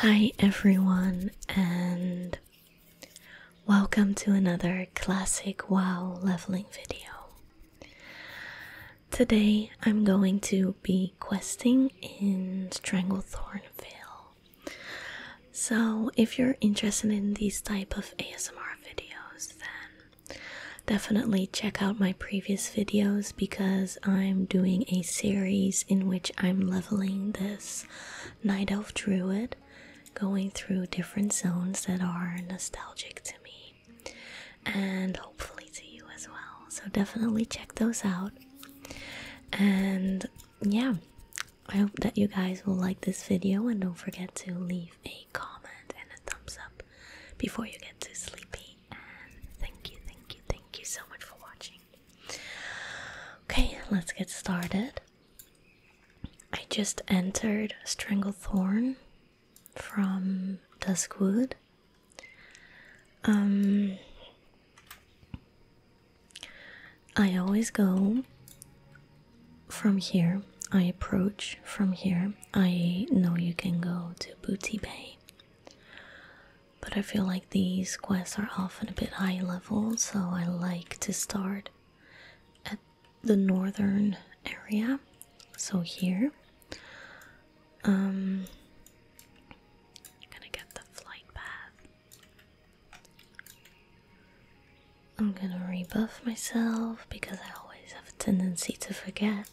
Hi, everyone, and welcome to another classic WoW leveling video. Today, I'm going to be questing in Stranglethorn Vale. So, if you're interested in these type of ASMR videos, then Definitely check out my previous videos because I'm doing a series in which I'm leveling this Night Elf Druid, going through different zones that are nostalgic to me and hopefully to you as well. So definitely check those out. And yeah, I hope that you guys will like this video and don't forget to leave a comment and a thumbs up before you get too sleepy. And thank you, thank you, thank you so much for watching. Okay, let's get started. I just entered Stranglethorn from Duskwood. Um, I always go from here. I approach from here. I know you can go to Booty Bay, but I feel like these quests are often a bit high level, so I like to start at the northern area. So here, um, I'm gonna get the flight path. I'm gonna rebuff myself because I always have a tendency to forget.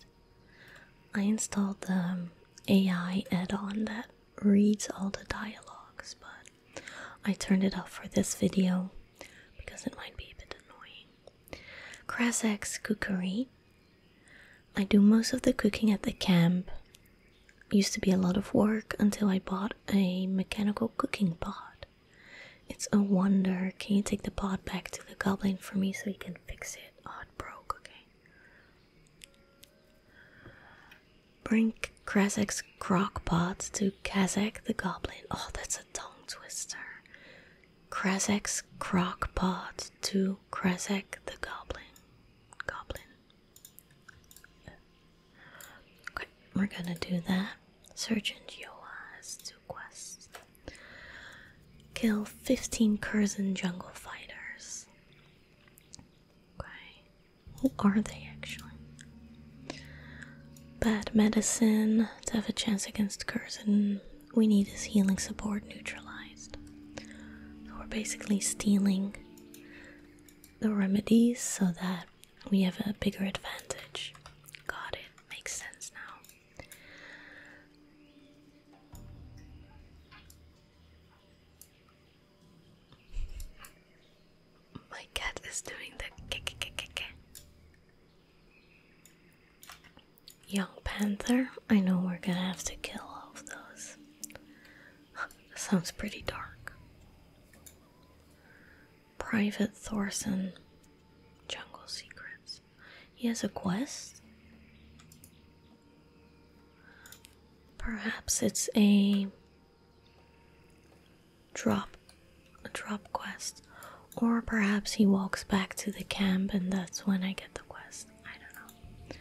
I installed the um, AI add on that reads all the dialogues, but I turned it off for this video because it might be a bit annoying. Krasek's Cookery. I do most of the cooking at the camp. used to be a lot of work until I bought a mechanical cooking pot. It's a wonder. Can you take the pot back to the goblin for me so he can fix it? it on pro cooking. Brink crockpot to Kazak the Goblin. Oh, that's a tongue twister. Krasek's crockpot to Krasak the Goblin. Goblin. Okay, we're gonna do that. Sergeant Yoa to quests. Kill 15 Curzon jungle fighters. Okay. Who are they actually? Bad medicine. To have a chance against Curzon, we need his healing support neutralized. So we're basically stealing the remedies so that we have a bigger advantage. Got it. Makes sense now. My cat is doing the kick kick kick. Young panther. I know we're gonna have to kill all of those. Sounds pretty dark. Private Thorson. Jungle secrets. He has a quest. Perhaps it's a drop a drop quest. Or perhaps he walks back to the camp and that's when I get the quest. I don't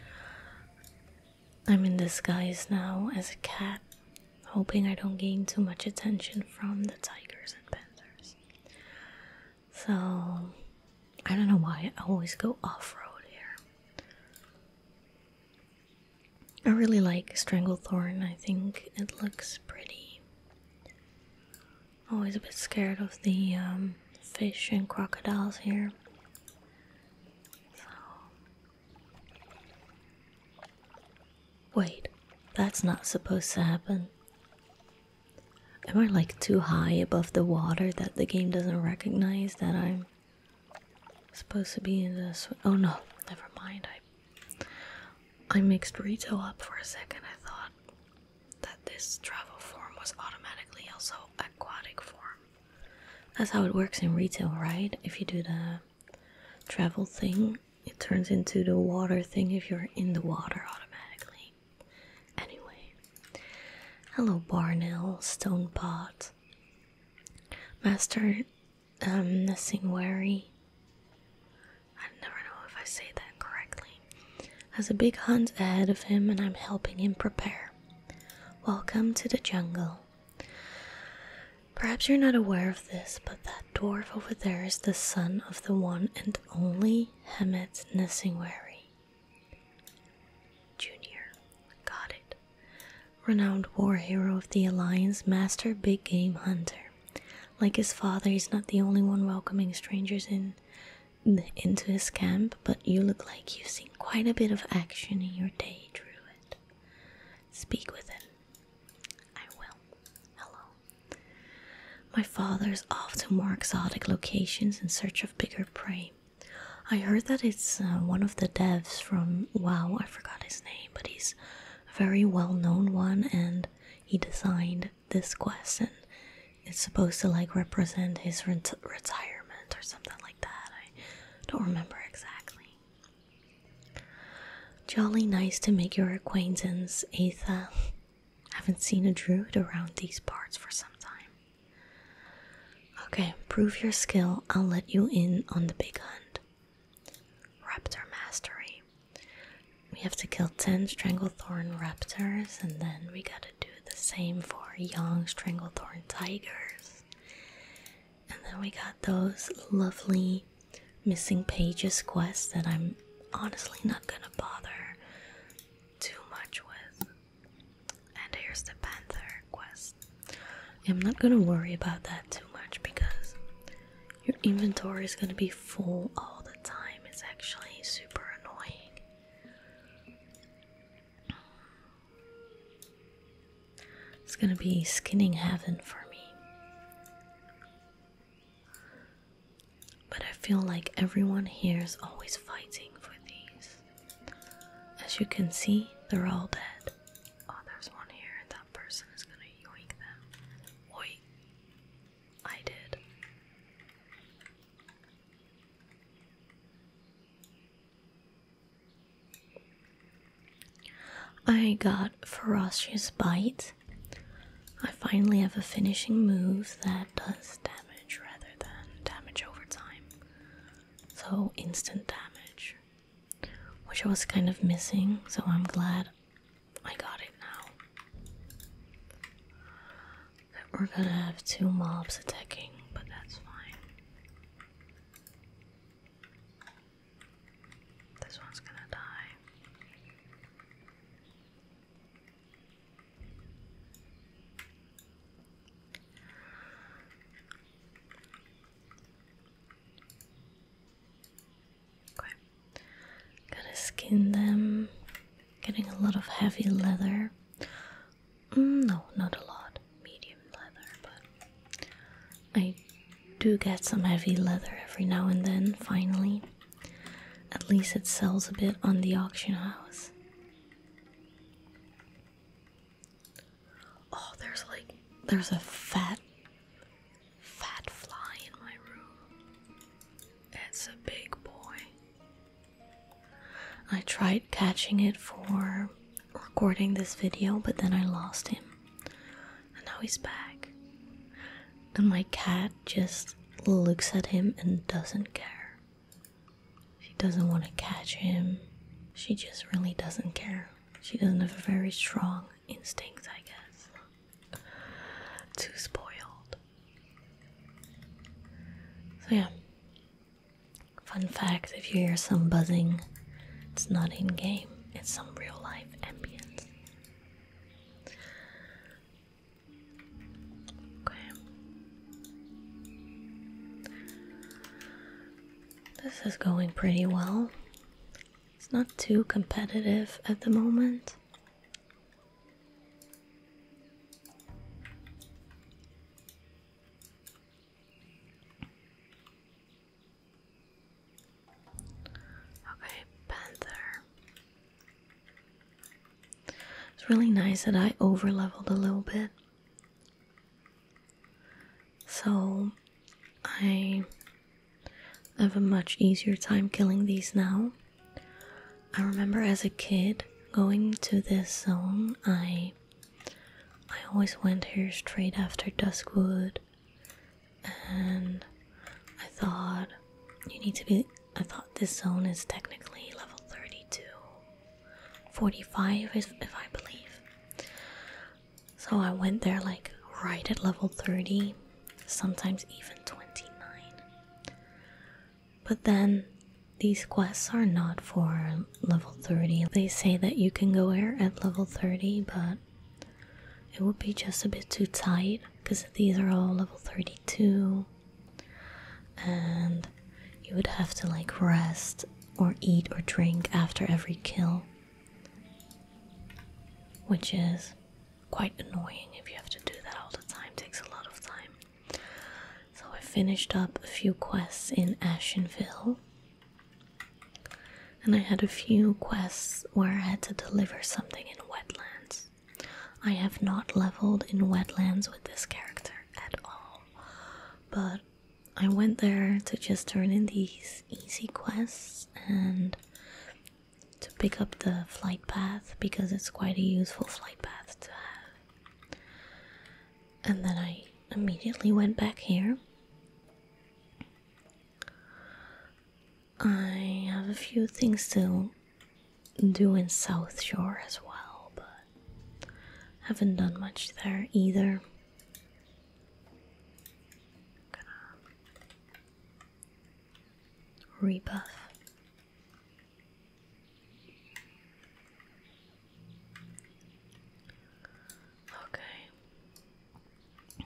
know. I'm in disguise now as a cat, hoping I don't gain too much attention from the tigers and panthers. So I don't know why I always go off road here. I really like Stranglethorn, I think it looks pretty. Always a bit scared of the um, fish and crocodiles here. So. Wait, that's not supposed to happen. Am I like too high above the water that the game doesn't recognize that I'm supposed to be in the? Oh no, never mind. I I mixed retail up for a second. I thought that this travel form was automatically also aquatic form. That's how it works in retail, right? If you do the travel thing, it turns into the water thing if you're in the water automatically. Anyway, hello Barnil Stonepot, Master um, Singwari. I never know if I say that correctly. Has a big hunt ahead of him, and I'm helping him prepare. Welcome to the jungle. Perhaps you're not aware of this, but that dwarf over there is the son of the one and only Hemet Nesingwari. Junior, got it. Renowned war hero of the Alliance, master big game hunter. Like his father, he's not the only one welcoming strangers in into his camp, but you look like you've seen quite a bit of action in your day, Druid. Speak with him. I will. Hello. My father's off to more exotic locations in search of bigger prey. I heard that it's uh, one of the devs from WoW, I forgot his name, but he's a very well known one and he designed this quest and it's supposed to like represent his retirement or something like that. I don't remember exactly. Jolly nice to make your acquaintance, Atha. I haven't seen a druid around these parts for some time. Okay, prove your skill. I'll let you in on the big hunt. Raptor mastery. We have to kill 10 Stranglethorn raptors, and then we gotta do the same for young Stranglethorn tigers. And then we got those lovely missing pages quest that I'm honestly not gonna bother too much with. And here's the Panther quest. I'm not gonna worry about that too much because your inventory is gonna be full all the time. It's actually super annoying. It's gonna be skinning heaven for me. But I feel like everyone here is always fighting for these. As you can see, they're all dead. Oh, there's one here, and that person is gonna yoink them. Oi. I did. I got Ferocious Bite. I finally have a finishing move that does damage rather than damage over time. So, instant damage, which I was kind of missing, so I'm glad I got it now. we're gonna have two mobs attacking, but that's fine. This one's gonna die. Gotta skin them. Getting a lot of heavy leather. Mm, no, not a lot. Medium leather, but I do get some heavy leather every now and then, finally. At least it sells a bit on the auction house. Oh, there's like, there's a fat, fat fly in my room. It's a big boy. I tried catching it for recording this video, but then I lost him. And now he's back. And my cat just looks at him and doesn't care. She doesn't want to catch him. She just really doesn't care. She doesn't have a very strong instinct, I guess. Too spoiled. So, yeah. Fun fact if you hear some buzzing, it's not in game, it's some real life ambience. Okay. This is going pretty well. It's not too competitive at the moment. Okay, Panther. It's really nice that I over leveled a little bit. So I have a much easier time killing these now. I remember as a kid going to this zone, I I always went here straight after Duskwood and I thought you need to be I thought this zone is technically level 30 45, if, if I believe. So I went there like right at level 30, sometimes even 29. But then these quests are not for level 30. They say that you can go here at level 30, but it would be just a bit too tight because these are all level 32 and you would have to like rest or eat or drink after every kill, which is quite annoying if you have to do that all the time, takes a lot of time. So I finished up a few quests in Ashenville. And I had a few quests where I had to deliver something in wetlands. I have not leveled in wetlands with this character at all, but I went there to just turn in these easy quests and to pick up the flight path because it's quite a useful flight path to have. And then I immediately went back here. I have a few things to doing South Shore as well, but haven't done much there either. Gonna rebuff. Okay.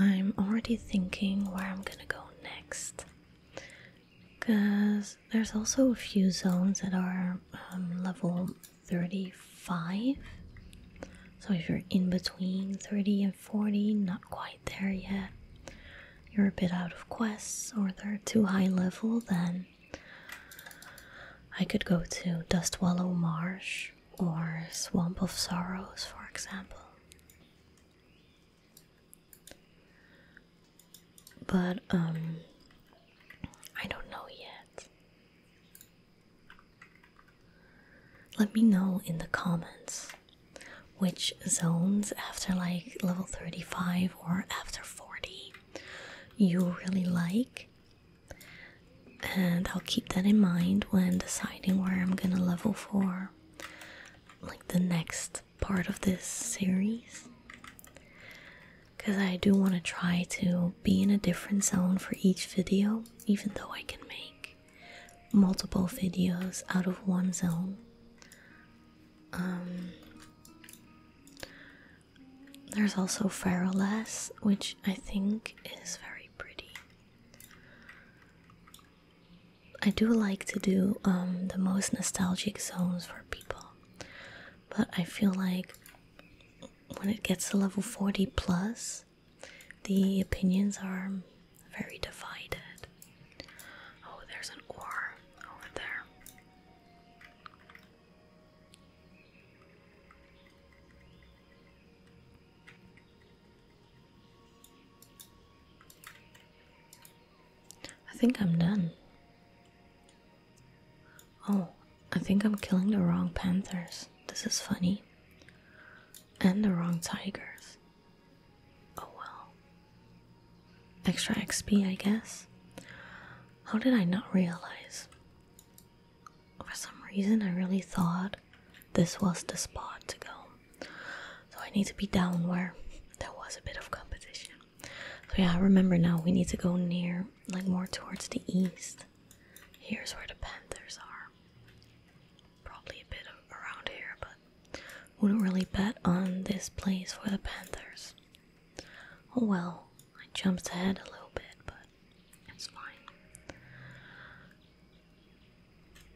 I'm already thinking where I'm gonna go next because there's also a few zones that are um, level 35. So if you're in between 30 and 40, not quite there yet, you're a bit out of quests or they're too high level, then I could go to Dustwallow Marsh or Swamp of Sorrows, for example. But, um, I don't know yet. Let me know in the comments which zones after like level 35 or after 40 you really like and I'll keep that in mind when deciding where I'm gonna level for like the next part of this series because I do want to try to be in a different zone for each video, even though I can make multiple videos out of one zone. Um, there's also Ferrolas, which I think is very pretty. I do like to do um, the most nostalgic zones for people, but I feel like when it gets to level 40 plus, the opinions are very divided. Oh, there's an ore over there. I think I'm done. Oh, I think I'm killing the wrong panthers. This is funny. And the wrong tigers. Oh well. Extra XP, I guess. How did I not realize? For some reason, I really thought this was the spot to go. So I need to be down where there was a bit of competition. So yeah, I remember now we need to go near, like more towards the east. Here's where the panthers are. Probably a bit of around here, but wouldn't really bet on this place for the panthers. Oh, well, I jumped ahead a little bit, but it's fine.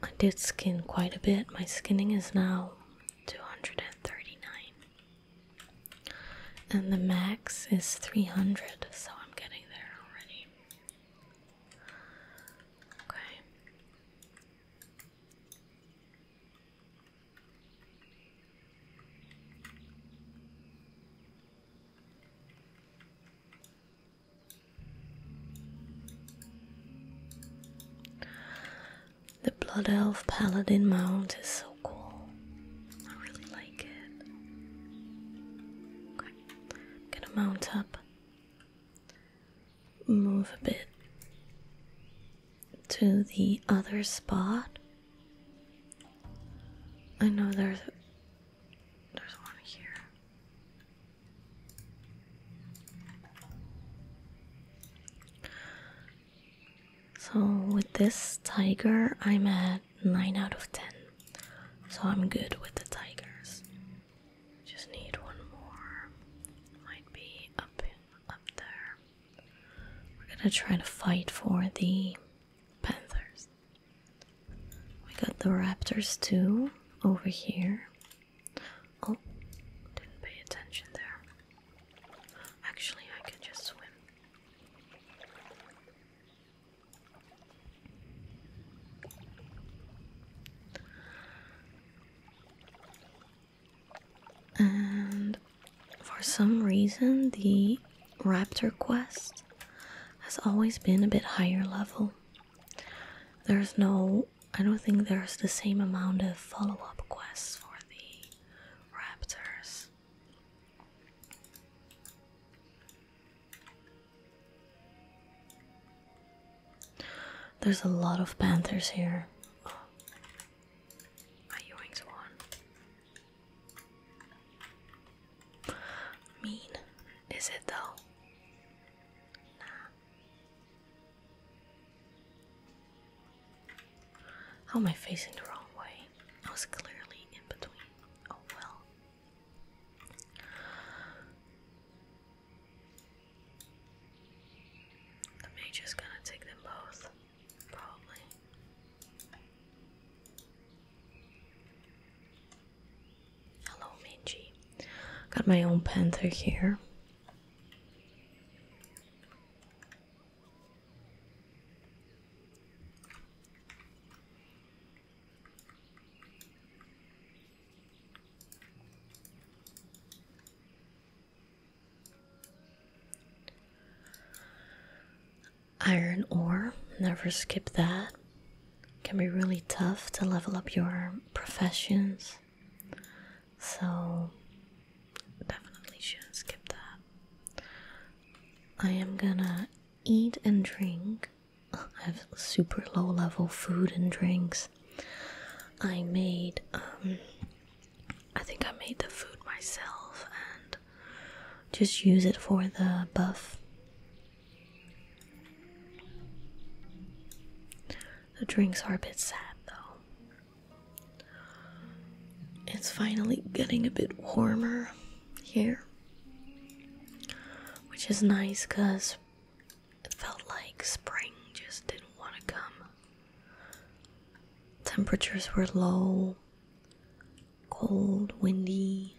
I did skin quite a bit. My skinning is now 239. And the max is 300, so I'm getting there already. Okay. The Blood Elf Paladin mount is so cool. I really like it. gonna mount up, move a bit to the other spot. I know there's there's one here. So with this tiger, I'm at 9 out of 10. So I'm good with the tigers. Just need one more. Might be up up there. We're going to try to fight for the Panthers. We got the Raptors too over here. Oh, didn't pay attention there. Actually, I could just swim. And for some reason, the Raptor Quest has always been a bit higher level. There's no, I don't think there's the same amount of follow up quests for the Raptors. There's a lot of panthers here. Oh. My Ewing's one. Mean, is it though? How am I facing the wrong way? I was clearly in between. Oh well. The mage is gonna take them both. Probably. Hello, Minji. Got my own pen through here. Iron ore, never skip that. Can be really tough to level up your professions. So definitely shouldn't skip that. I am gonna eat and drink. I have super low level food and drinks. I made um I think I made the food myself and just use it for the buff. The drinks are a bit sad though. It's finally getting a bit warmer here, which is nice because it felt like spring just didn't want to come. Temperatures were low, cold, windy,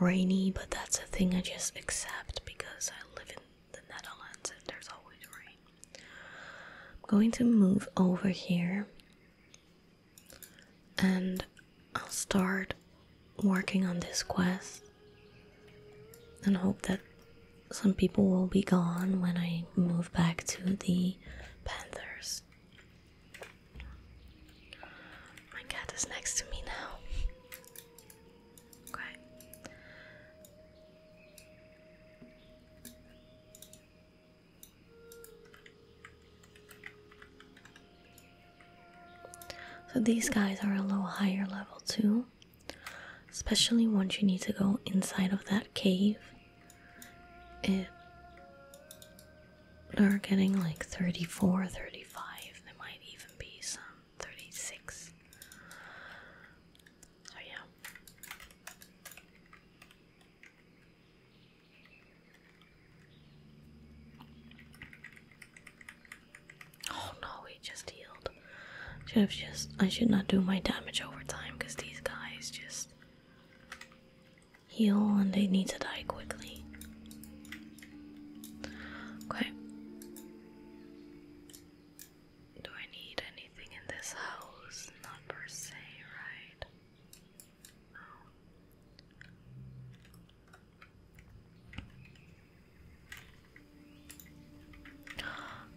rainy, but that's a thing I just accept because I live in the Netherlands and there's always rain. I'm going to move over here and I'll start working on this quest and hope that some people will be gone when I move back to the Panthers. My cat is next to me now. Okay. So these guys are a little higher level too, especially once you need to go inside of that cave it they're getting like 34 35 there might even be some 36 so yeah Oh no, we just healed. Should have just I should not do my damage over time because these guys just heal and they need to die quickly. Okay. Do I need anything in this house? Not per se, right?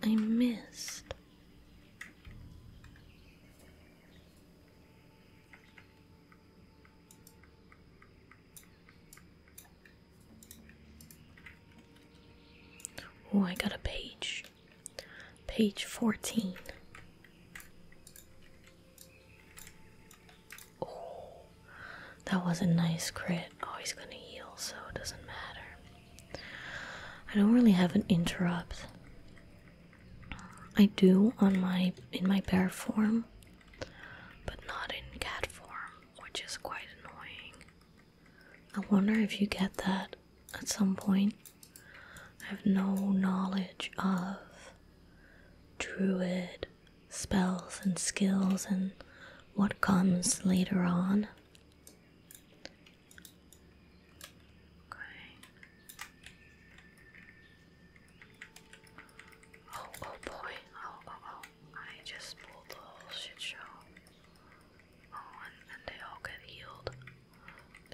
I missed. Oh, I got a page. Page 14. Oh, that was a nice crit. Oh, he's gonna heal, so it doesn't matter. I don't really have an interrupt. I do on my in my bear form, but not in cat form, which is quite annoying. I wonder if you get that at some point. I have no knowledge of druid spells and skills and what comes later on. Okay. Oh, oh boy. Oh, oh, oh. I just pulled the whole shit show. Oh, and, and they all get healed.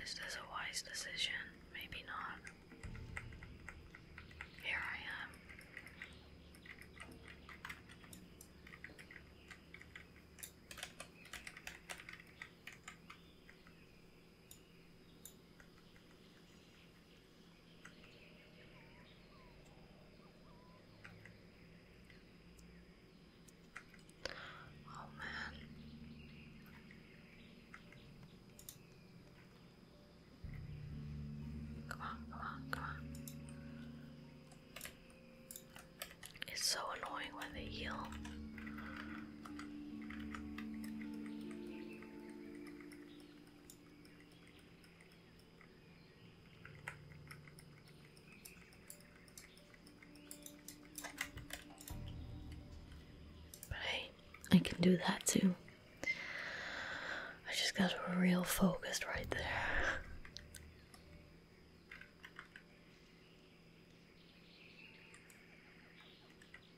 Is a wise decision? Maybe not. Here I am. Oh, man. Come on, come on, come on. It's so annoying when they heal. But hey, I can do that too. I just got real focused right there.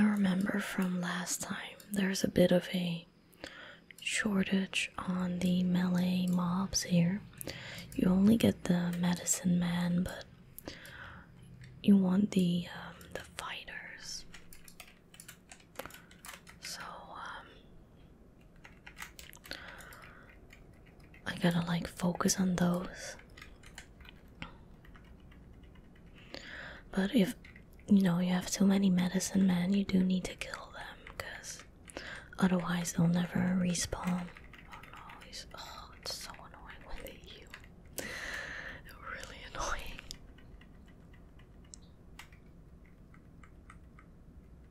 I remember from last time there's a bit of a shortage on the melee mobs here. You only get the medicine man, but you want the um, the fighters. So, um, I gotta like focus on those. But if you know you have too many medicine men, you do need to kill them because otherwise they'll never respawn. Oh no, it's so annoying when they eat you. Really annoying.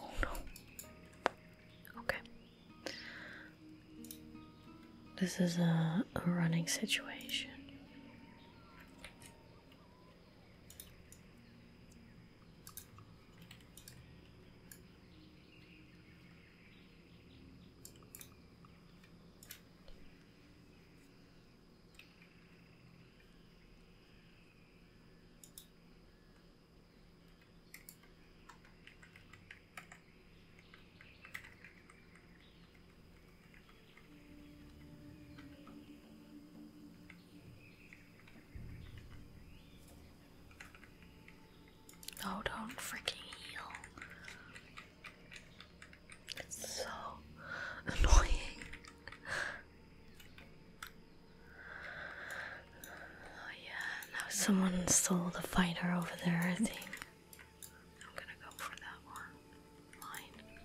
Oh no. Okay. This is a, a running situation. No, don't freaking heal. It's so annoying. Oh yeah, now someone stole the fighter over there, I think. I'm gonna go for that one. Mine.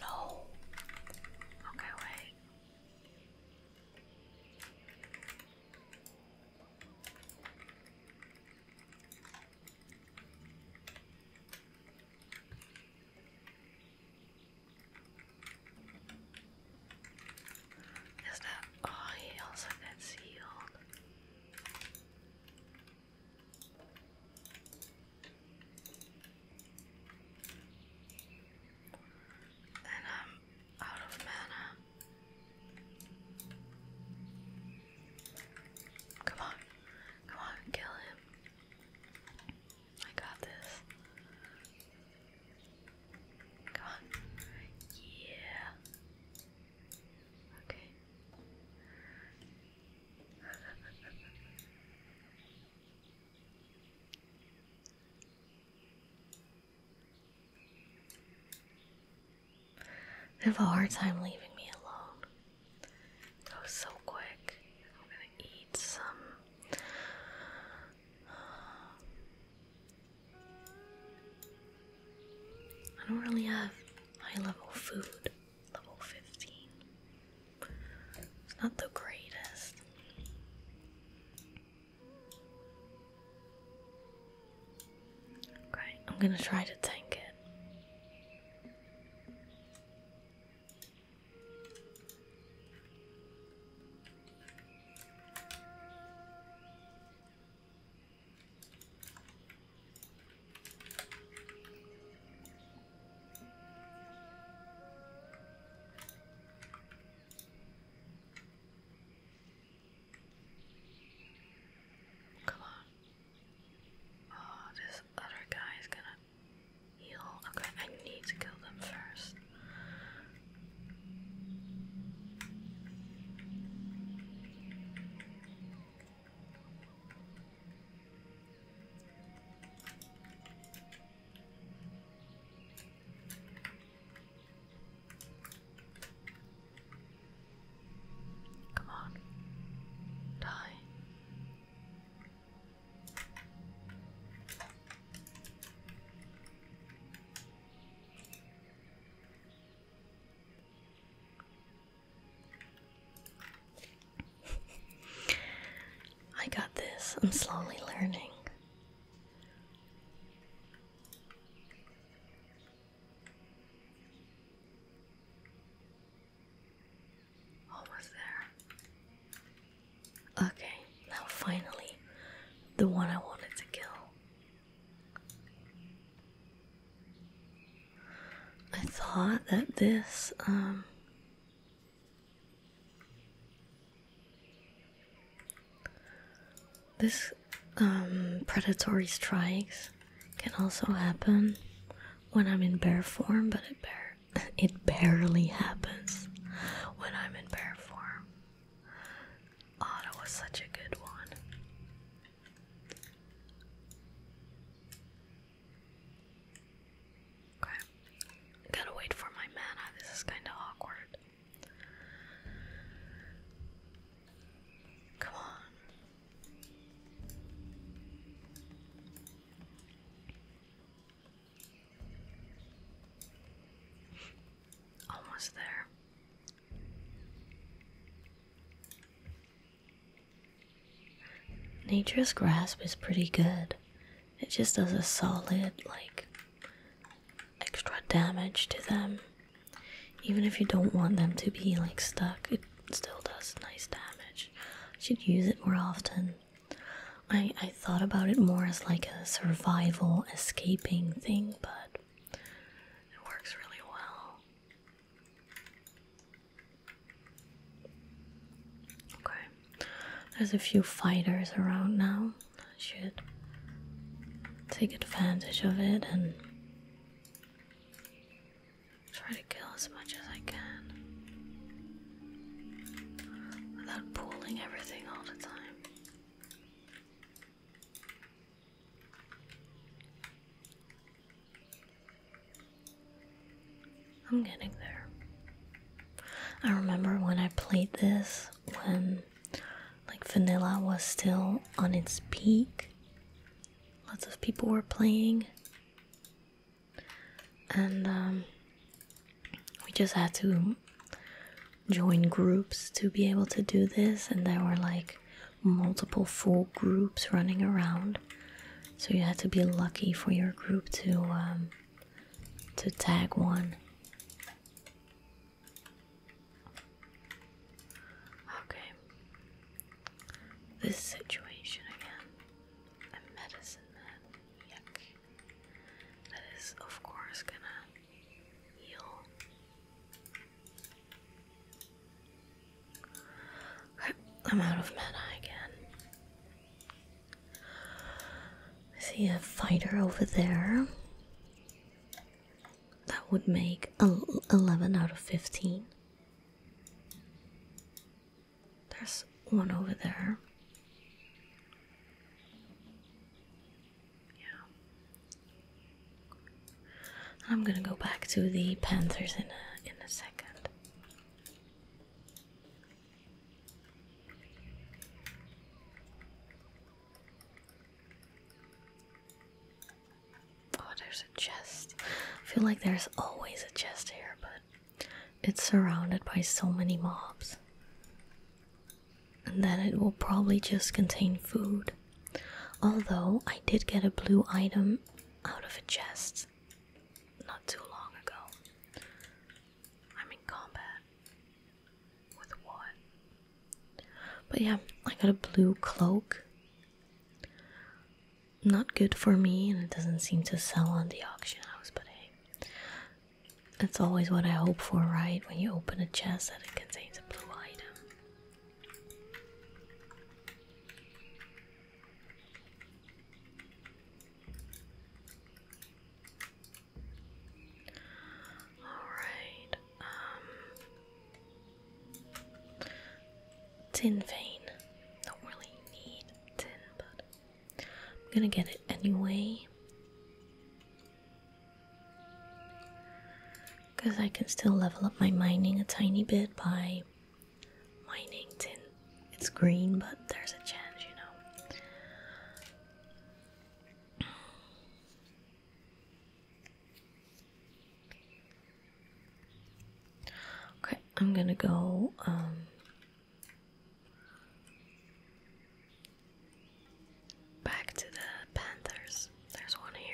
No. Okay, wait. Is that? Oh, he also got sealed. And I'm out of mana. Come on, come on, kill him. I got this. Come on. Yeah. Okay. I have a hard time leaving me alone. That so quick. I'm gonna eat some. I don't really have high level food, level 15. not the greatest. Okay, I'm gonna try to tank it. Come on. Oh, this other guy is gonna heal. Okay, I need to kill them first. Come on, die. I got this. I'm slowly learning. Almost there. Okay, now finally, the one I wanted to kill. I thought that this, um, this um, predatory strikes can also happen when I'm in bear form, but it bears. It barely happens when I'm in bear form. Oh, was such a good one. Okay. Gotta wait for my mana. This is kinda awkward. Come on. Almost there. Nature's grasp is pretty good. It just does a solid, like, extra damage to them. Even if you don't want them to be, like, stuck, still does nice damage. should use it more often. I, I thought about it more as like a survival escaping thing, but it works really well. Okay, there's a few fighters around now. I should take advantage of it and Try to kill as much as I can without pulling everything all the time. I'm getting there. I remember when I played this when like vanilla was still on its peak. Lots of people were playing and um, we just had to join groups to be able to do this, and there were like multiple full groups running around, so you had to be lucky for your group to um, to tag one. Okay, this situation again a medicine man. Yuck. That is, of course, gonna heal. Okay, I'm out of mana again. I see a fighter over there. That would make 11 out of 15. There's one over there. Yeah. I'm gonna go back to the panthers in a in a second. Oh, there's a chest. feel like there's always a chest here, but it's surrounded by so many mobs. And then it will probably just contain food. Although I did get a blue item out of a chest not too long ago. I'm in combat with what? But yeah, I got a blue cloak not good for me and it doesn't seem to sell on the auction house, but hey. That's always what I hope for, right? When you open a chest that it contains a blue item. Alright, um, tin vein. Don't really need tin, but I'm gonna get it anyway. Because I can still level up my mining a tiny bit by mining tin. It's green, but there's a chance, you know. Okay, I'm gonna go um, Back to the Panthers. There's one here.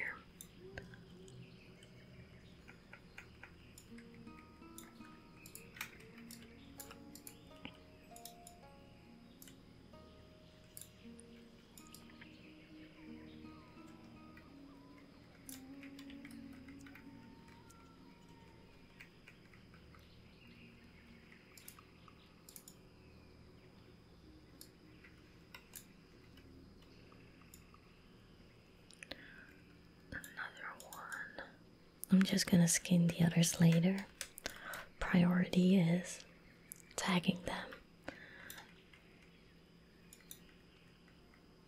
Another one. I'm just gonna skin the others later. Priority is tagging them.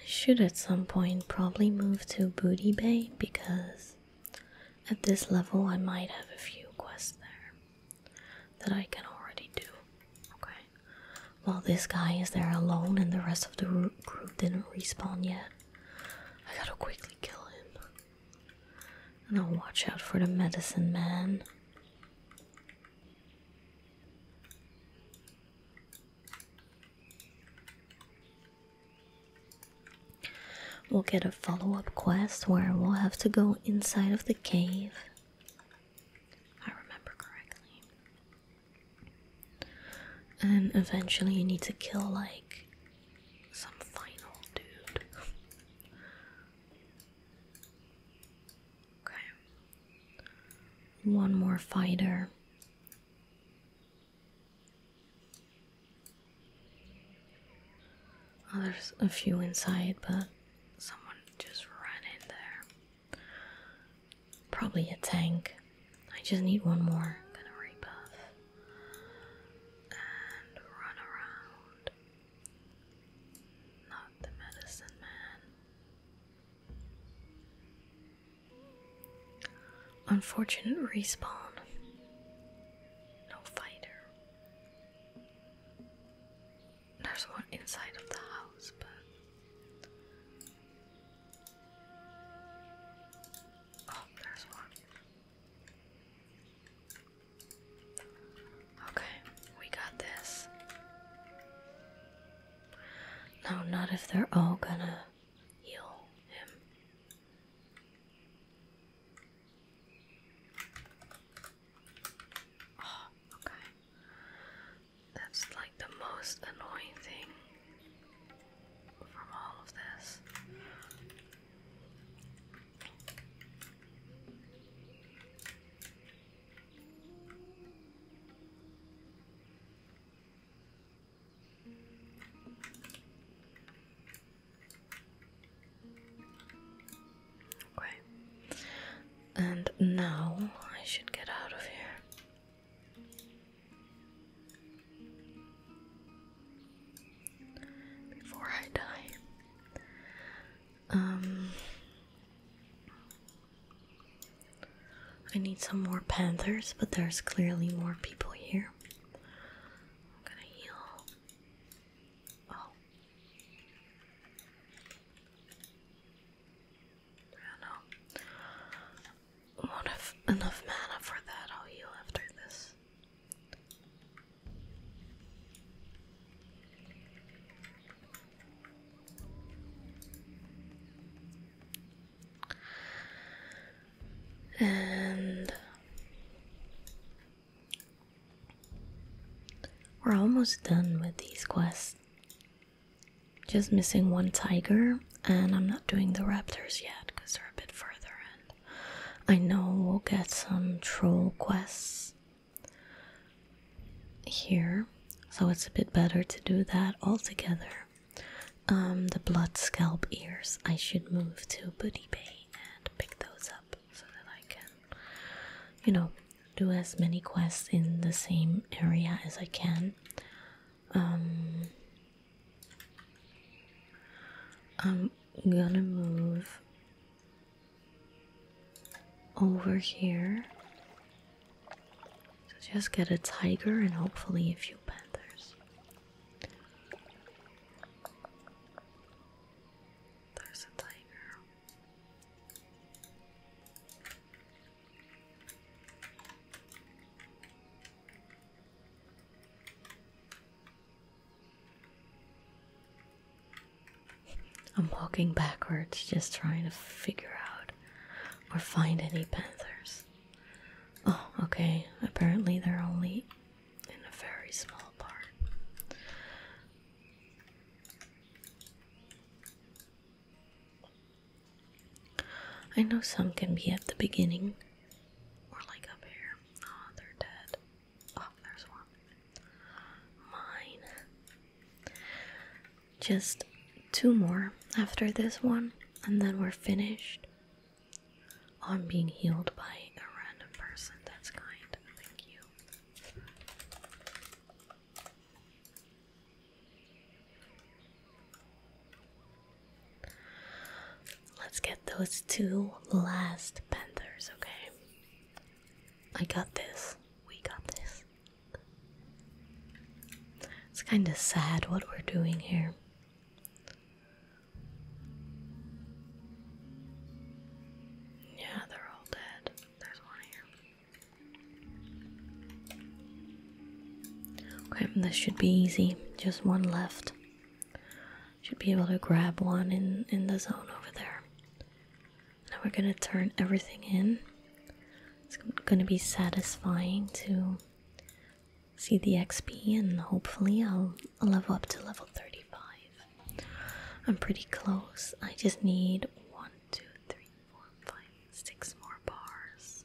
I should at some point probably move to Booty Bay because at this level I might have a few quests there that I can already do. Okay. Well, this guy is there alone and the rest of the group didn't respawn yet. I gotta quickly kill him. And I'll watch out for the medicine man. We'll get a follow up quest where we'll have to go inside of the cave. I remember correctly. And eventually, you need to kill like some final dude. Okay. One more fighter. Oh, there's a few inside, but someone just ran in there. Probably a tank. I just need one more. gonna rebuff and run around. Not the medicine man. Unfortunate respawn. No fighter. There's one inside of the house, but. Oh, there's one. Okay, we got this. No, not if they're all gonna heal him. Oh, okay. That's like the most annoying thing from all of this. Okay. And now I should get out of here. Before I die, um, I need some more panthers, but there's clearly more people here. I'm gonna heal. Oh. I do Won't have enough mana for that. I'll heal after this. And we're almost done with these quests. Just missing one tiger, and I'm not doing the raptors yet because they're a bit further. And I know we'll get some troll quests here, so it's a bit better to do that all together. Um, the blood scalp ears I should move to Booty Bay and pick those up so that I can, you know, do as many quests in the same area as I can. Um, I'm gonna move over here. So just get a tiger and hopefully a few panthers. There's a tiger. I'm walking backwards just trying to figure out or find any panthers. Oh, okay. Apparently they're only in a very small part. I know some can be at the beginning or like up here. Oh, they're dead. Oh, there's one. Mine. Just two more after this one, and then we're finished. On being healed by a random person. That's kind. Thank you. Let's get those two last panthers, okay? I got this. We got this. It's kind of sad what we're doing here. Yeah, they're all dead. There's one here. Okay, this should be easy. Just one left. Should be able to grab one in in the zone over there. Now we're gonna turn everything in. It's gonna be satisfying to see the XP, and hopefully, I'll level up to level 35. I'm pretty close. I just need one, two, three, four, five, six more bars.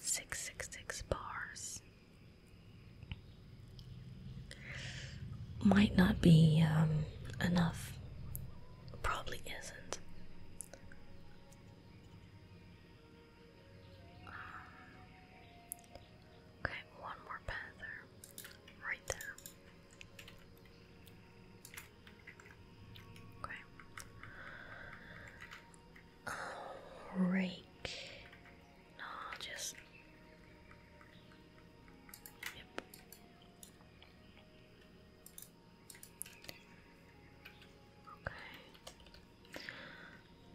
Six, six, six bars might not be um, enough. Probably isn't. Okay, one more panther right there. Okay. Oh, No, just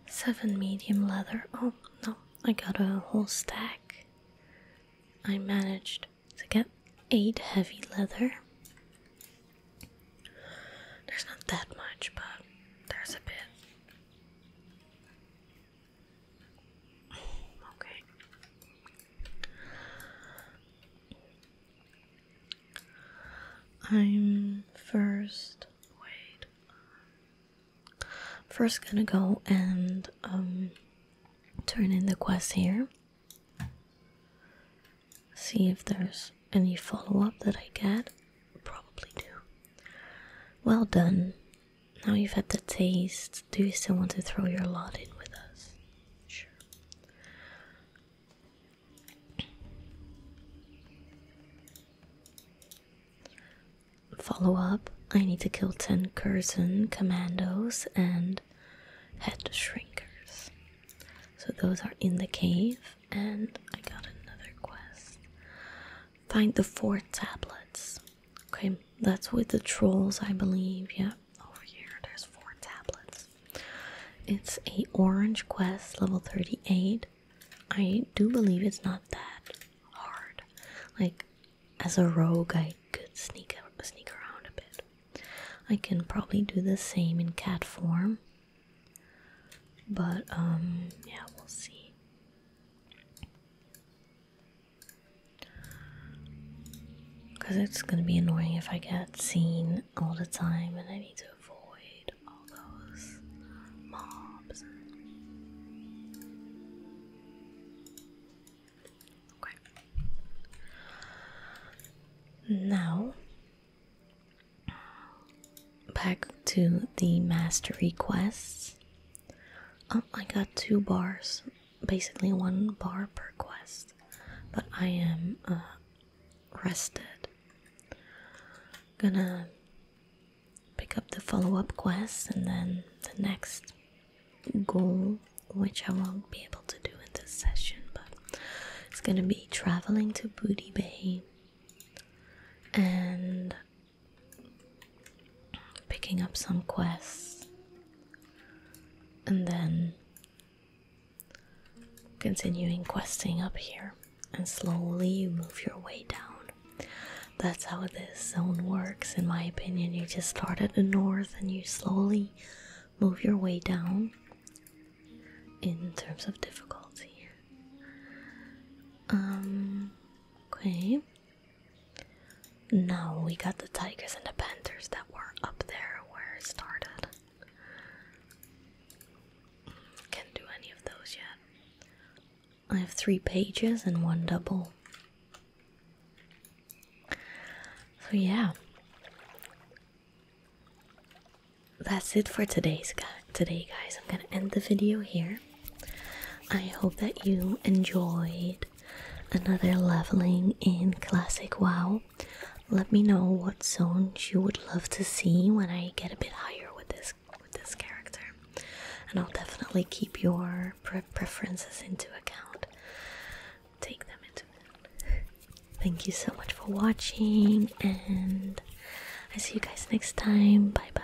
Seven medium leather. Oh no, I got a whole stack. I managed to get eight heavy leather. There's not that much, but there's a bit. Okay. I'm first. Wait. First, gonna go and um, turn in the quest here. See if there's any follow up that I get. Probably do. Well done. Now you've had the taste, do you still want to throw your lot in with us? Sure. Follow up. I need to kill 10 Curzon commandos and head shrinkers. So those are in the cave, and I got another quest. Find the four tablets. Okay, that's with the trolls, I believe. Yeah, over here, there's four tablets. It's a orange quest, level 38. I do believe it's not that hard. Like, as a rogue, I could sneak sneak around a bit. I can probably do the same in cat form. But um, yeah, we'll see. Because it's going to be annoying if I get seen all the time and I need to avoid all those mobs. Okay. Now, back to the master requests. Oh, I got two bars basically one bar per quest, but I am uh, rested. Gonna pick up the follow up quest and then the next goal, which I won't be able to do in this session, but it's gonna be traveling to Booty Bay and picking up some quests, and then continuing questing up here and slowly you move your way down. That's how this zone works, in my opinion. You just start at the north and you slowly move your way down in terms of difficulty. Um, okay, no, we got the tigers and the panthers that were up there where it started. Can't do any of those yet. I have three pages and one double. So, yeah. That's it for today's Today, guys, I'm gonna end the video here. I hope that you enjoyed another leveling in Classic WoW, let me know what zones you would love to see when I get a bit higher with this with this character, and I'll definitely keep your preferences into account. Take them into account. Thank you so much for watching, and I see you guys next time. Bye bye.